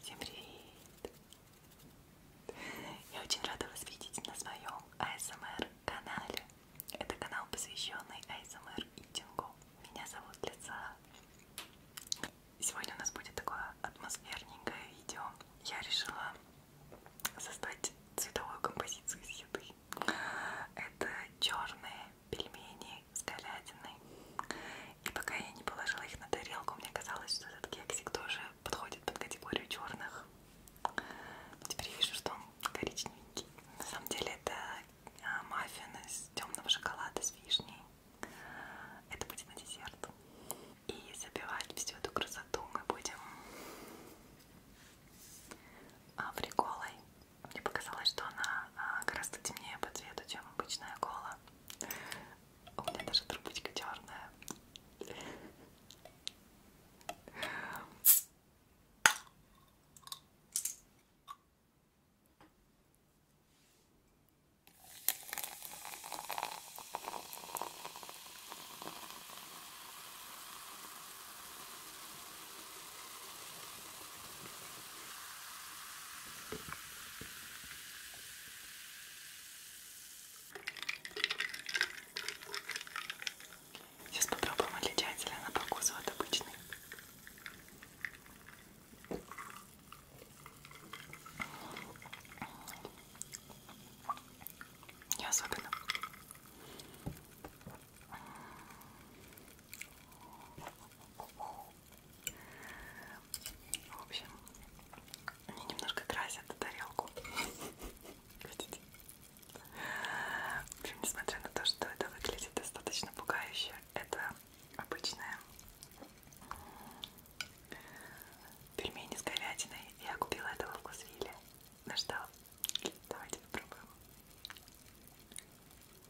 Всем привет! Я очень рада вас видеть на своем ASMR канале. Это канал, посвященный ASMR итингу. Меня зовут Лица. Сегодня у нас будет такое атмосферненькое видео. Я решила создать цветовую композицию из еды. Это черные пельмени с говядиной. И пока я не положила их на тарелку, мне казалось, что этот кексик тоже подходит под категорию черных. Теперь я вижу, что он коричневенький. На самом деле это а, маффин из темного шоколада с вишней. Это будет на десерт. И забивать всю эту красоту мы будем а, фриколой мне показалось, что она а, гораздо темнее по цвету, чем обычная кола. У меня даже трубочка черная. Сейчас попробуем отличается ли она по вкусу от обычной. Не особенно. В общем, они немножко красят тарелку. Видите? В общем, несмотря на то, что это выглядит достаточно пугающе, это обычная пельмени с говядиной. Я купила этого в Вкусвилле. Ну что, давайте попробуем.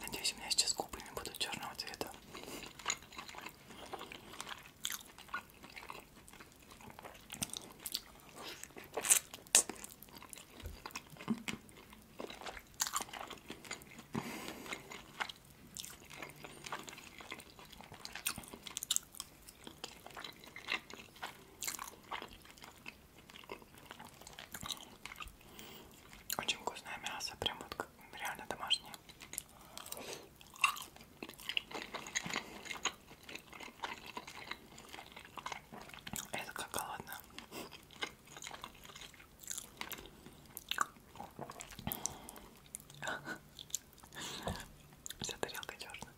Надеюсь, у меня сейчас губы не будут черного цвета. Очень вкусное мясо, прям вот как реально домашнее. Это как голодно. Вся тарелка черная.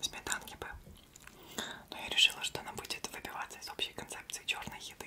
Сметанки бы но я решила, что она будет выбиваться из общей концепции черной еды.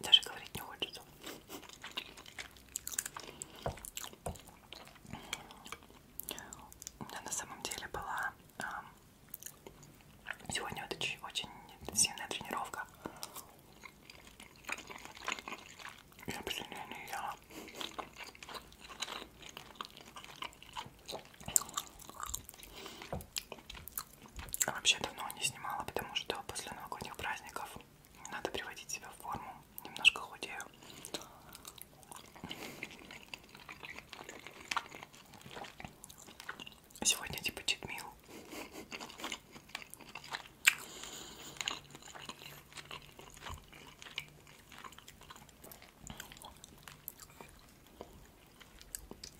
Даже говорить не хочется. У меня на самом деле была а, сегодня вот очень, очень интенсивная тренировка. Я последнее не ела. А вообще давно не снимала, потому что после новогодних праздников надо приводить себя в форму. Немножко худею. Сегодня типа читмил.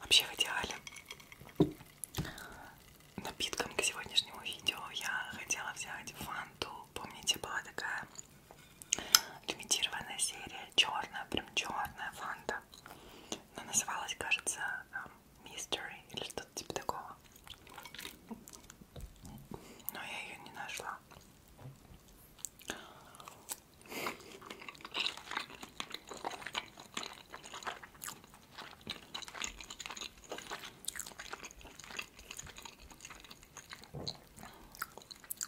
Вообще в идеале напитком к сегодняшнему видео я хотела взять фанту. Помните, была такая лимитированная серия, черная, прям черная фанта. Она называлась, кажется, эм, Mystery или что-то типа такого. Но я ее не нашла.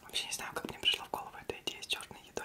Вообще не знаю, как мне пришла в голову эта идея с черной едой.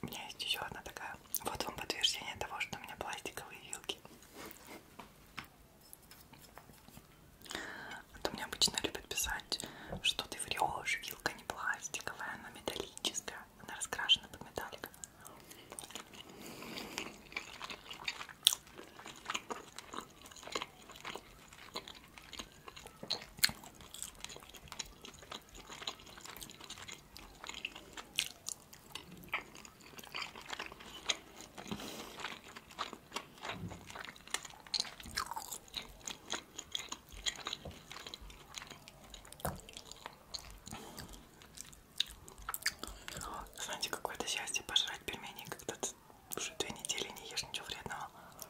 У меня есть еще одна такая. Вот вам подтверждение того, что у меня пластиковые вилки. А то мне обычно любят писать, что ты врешь, вилка не пластиковая, она металлическая, она раскрашена под металлик. Знаете, какое-то счастье пожрать пельмени, когда ты уже две недели не ешь ничего вредного.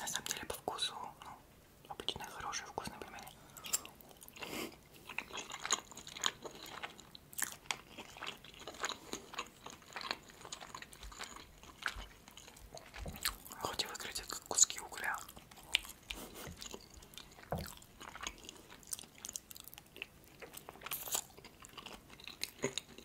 На самом деле по вкусу, ну, обычные хорошие вкусные пельмени. Хоть и выглядят как куски угля.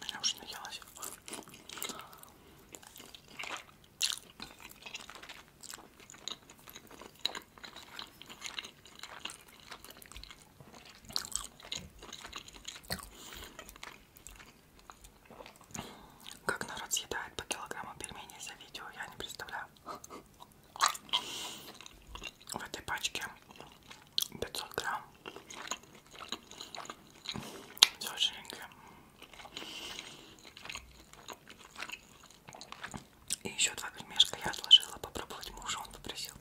Меня уже наелась. Как народ съедает по килограмму пельменей за видео, я не представляю. В этой пачке 500 грамм. Все жирненькое. И еще два пельмешка я отложила попробовать мужу, он попросил.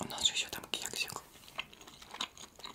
У нас же еще там кексик.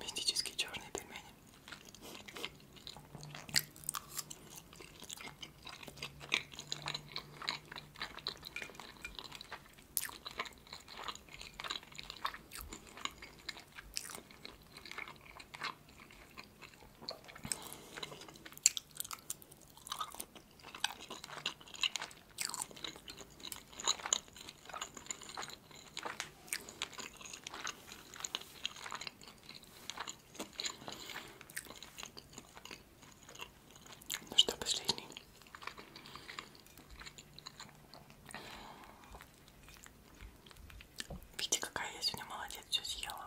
Мистические черные пельмени. Ну что, последний? Видите, какая я сегодня молодец, все съела.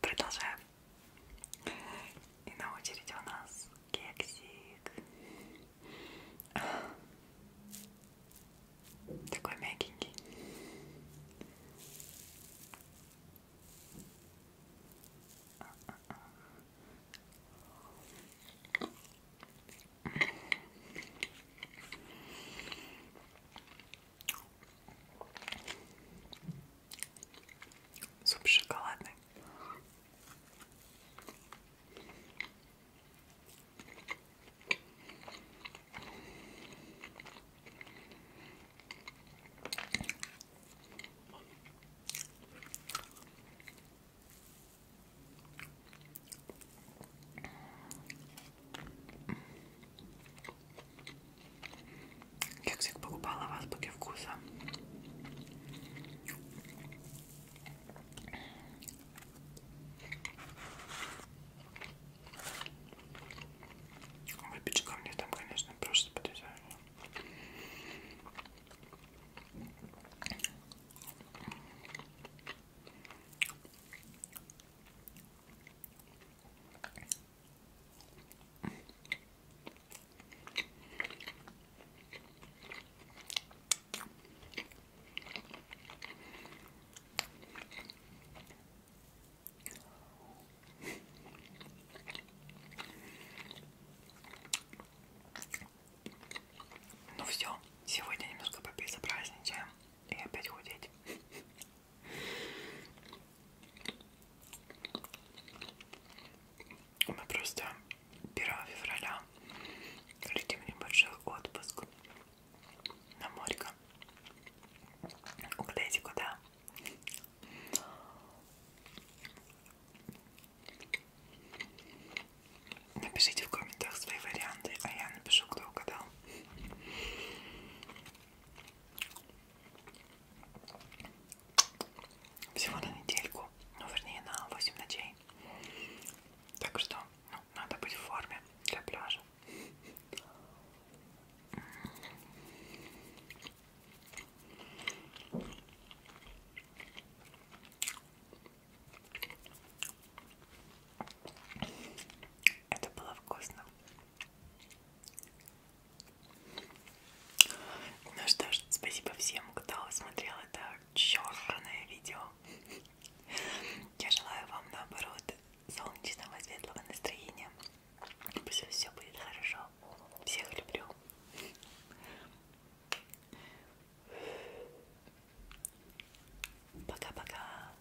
Продолжаем. И на очереди у нас кексик. Такой мягенький. Суп шоколадный. Кексик покупала в азбуке вкуса. Выпечка мне там, конечно, просто потрясающая. Ну все, сегодня немножко попить и опять худеть. Мы просто 1 февраля летим в небольшой отпуск на морько. Угадайте куда? Напишите в комментах свои варианты, а я напишу, кто угадал. Всего на недельку, ну вернее на 8 ночей. Так что ну, надо быть в форме для пляжа. Это было вкусно. Ну что ж, спасибо всем, кто смотрел это черное видео. Я желаю вам, наоборот, солнечного, светлого настроения. Пусть все будет хорошо. Всех люблю. Пока-пока.